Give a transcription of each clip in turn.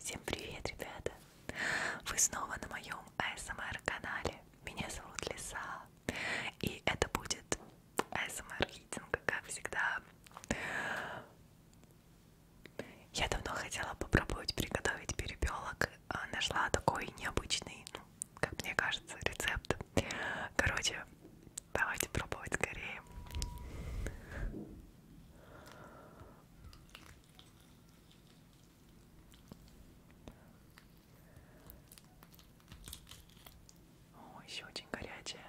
Всем привет, ребята! Вы снова на моем ASMR канале. Меня зовут Лиса. И это будет ASMR хитинг, как всегда. Я давно хотела попробовать приготовить перепелок, а нашла такой необычный, ну, как мне кажется, рецепт. Короче, давайте пробовать скорее. О, еще очень горячая.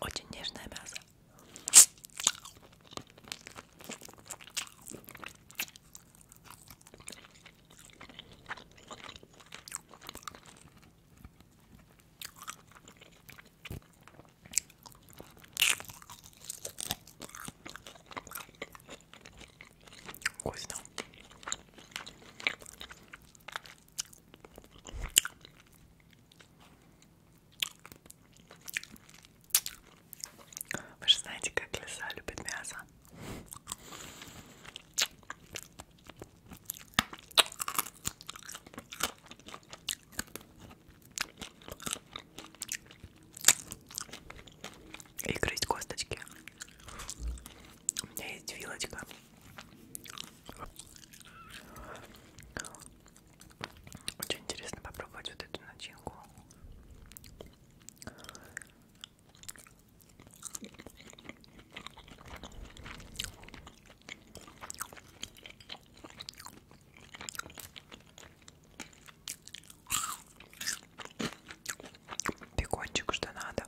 Очень нежное мясо. Вкусно. Вы же знаете, как лиса любит мясо и грызть косточки. У меня есть вилочка. Очень интересно попробовать вот эту начинку. Бекончик, что надо.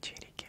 Черики.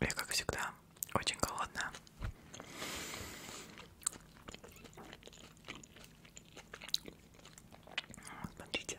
Я, как всегда, очень голодная. Смотрите.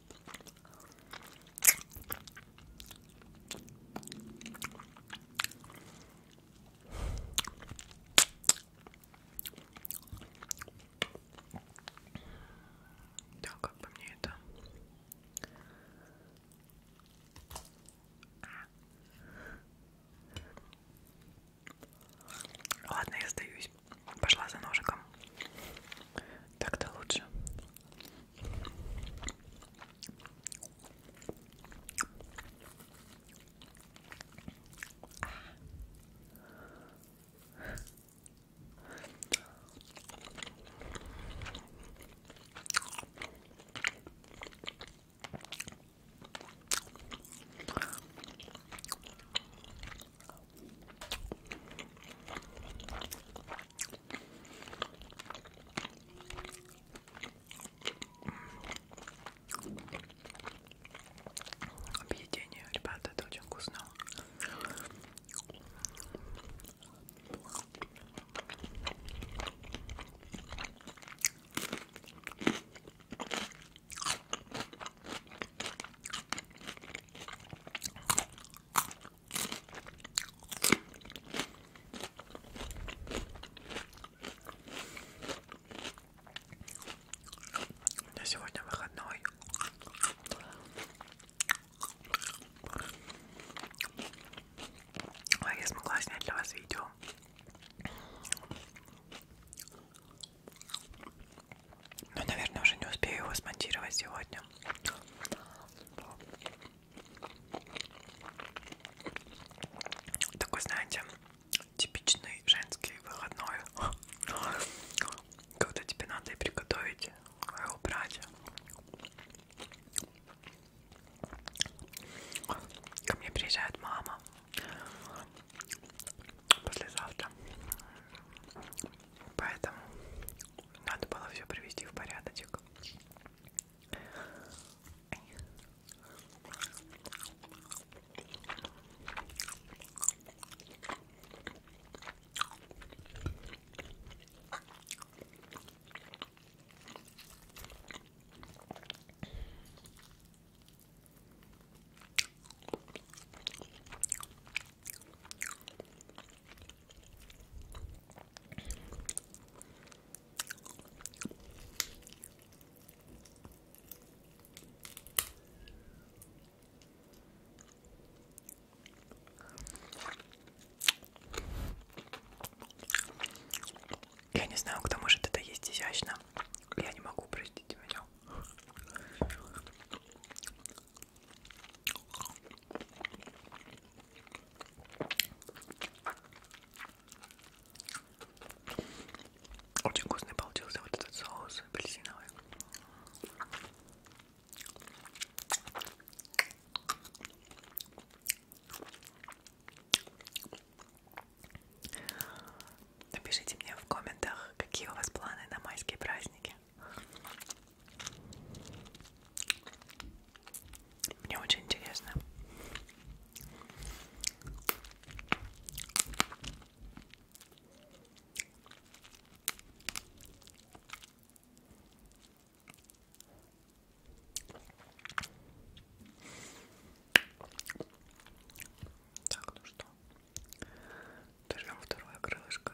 Да, как бы мне это... Ладно, я сдаюсь. Пошла за ножиком. Так-то лучше. Объедение, ребята, это очень вкусно. У меня сегодня выходной. А я смогла снять для вас видео. Но, наверное, уже не успею его смонтировать сегодня. Такой, знаете, типичный женский выходной. Когда тебе надо и приготовить, и убрать. Ко мне приезжает мама послезавтра. Поэтому надо было все привести в порядочек. Я не знаю, кто может это есть изящно. Я не могу, простите меня. Очень вкусный получился вот этот соус апельсиновый. Напишите мне в комментах, какие у вас планы на майские праздники. Мне очень интересно. Так, ну что, дожмем второе крылышко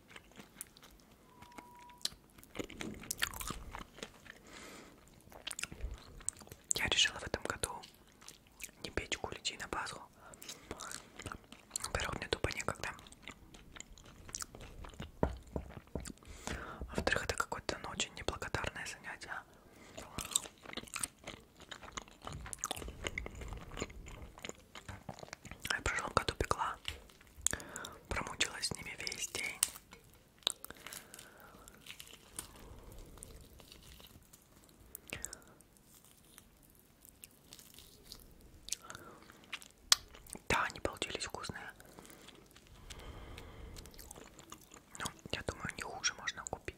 Я решила в этом году не печь куличи на Пасху. Во-первых, мне тупо некогда. Во-вторых, это какое-то ну, очень неблагодарное занятие. Я в прошлом году пекла, промучилась с ними весь день. Да, они получились вкусные. Ну, я думаю, не хуже можно купить.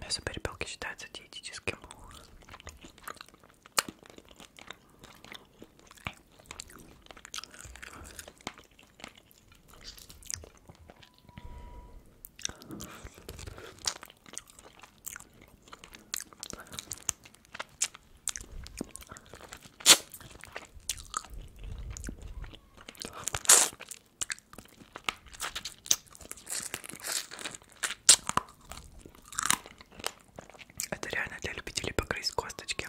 Мясо перепелки считается диетическим. Это реально для любителей погрызть косточки.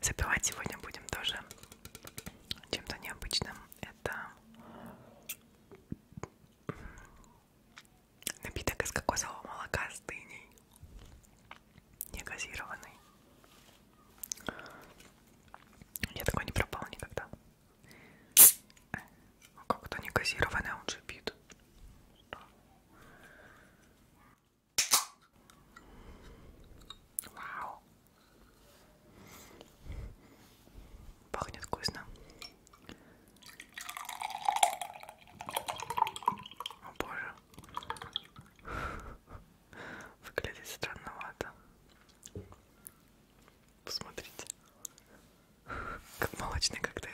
Запивать сегодня будем тоже чем-то необычным. Это напиток из кокосового молока с дыней, не газированный. Я такой не пропал никогда. А как-то не газированная он же бит. Вау. Пахнет вкусно. О боже. Выглядит странновато. Посмотрите. Как молочный коктейль.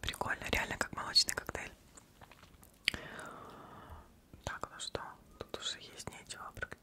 Прикольно, реально как молочный коктейль. Так, ну что, тут уже есть нечего практически.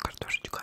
Картошечка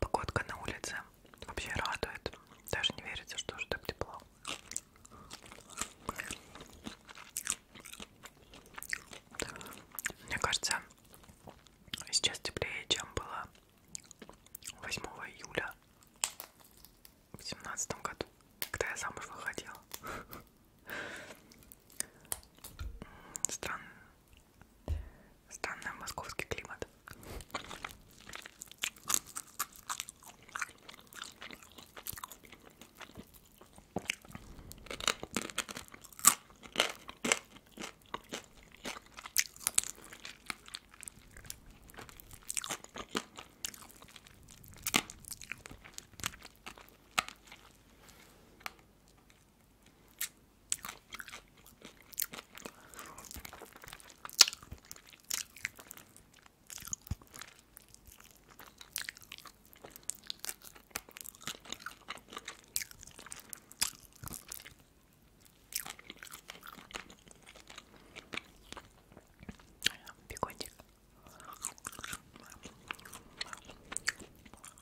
Погодка на улице вообще радует. Даже не верится, что уже так тепло. Мне кажется, сейчас теплее, чем было 8 июля в семнадцатом году, когда я замуж выходила. Странный, странный московский климат. Бекончик.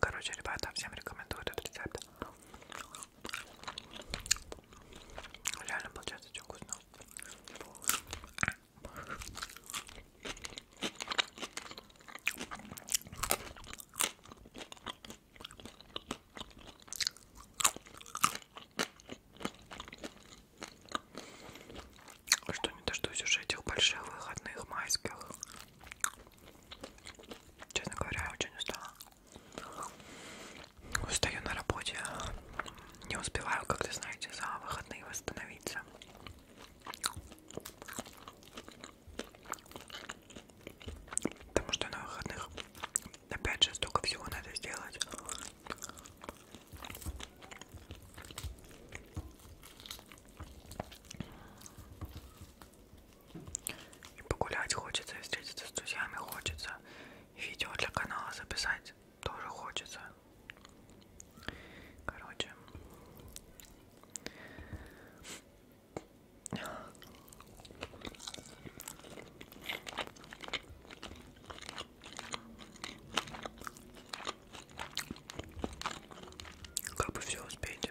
Короче, ребята, всем рекомендую этот рецепт. Реально получается очень вкусно. Что не дождусь уже этих больших выходных майских. Честно говоря, я очень устала. Устаю на работе. Не успеваю, как вы знаете, за выходные восстановиться. Потому что на выходных опять же столько всего надо сделать. И погулять хочется, и встретиться с друзьями хочется. И видео для канала записать тоже хочется. Короче. Как бы все успеть.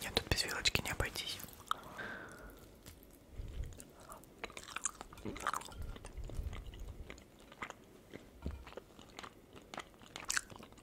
Нет, тут без вилочки не обойтись.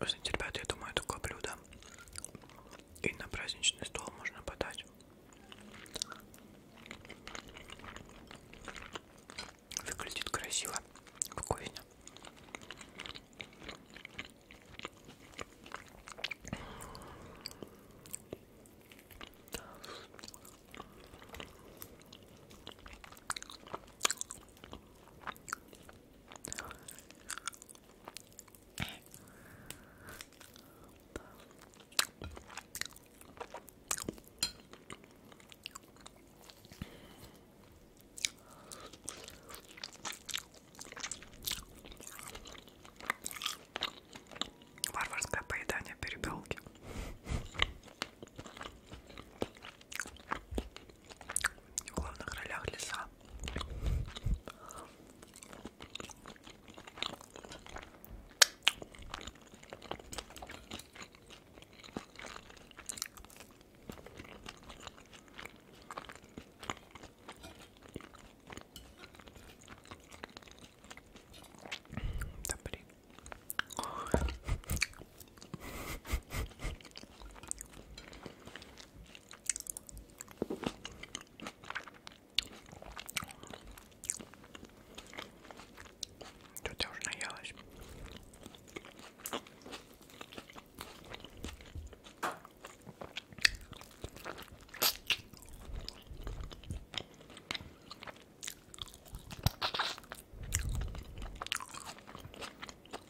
Вы знаете, ребята, я думаю, такое блюдо и на праздничный стол можно подать. Выглядит красиво, вкусно. Варварское поедание перепелки в главных ролях леса. Да блин. Тут я уже наелась.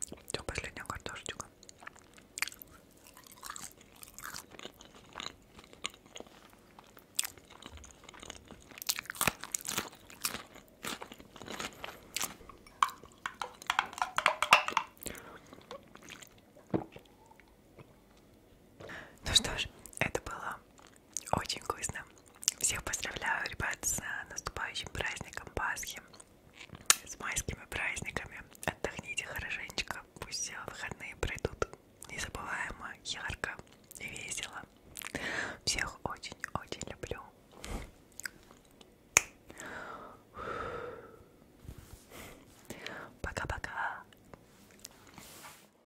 Все, последняя картошечка. Ну что ж, это было очень вкусно. Всех поздравляю, ребят, с э, наступающим праздником Пасхи, с майскими праздниками. Отдохните хорошенечко, пусть все э, выходные пройдут незабываемо, ярко и весело. Всех очень-очень люблю. Пока-пока.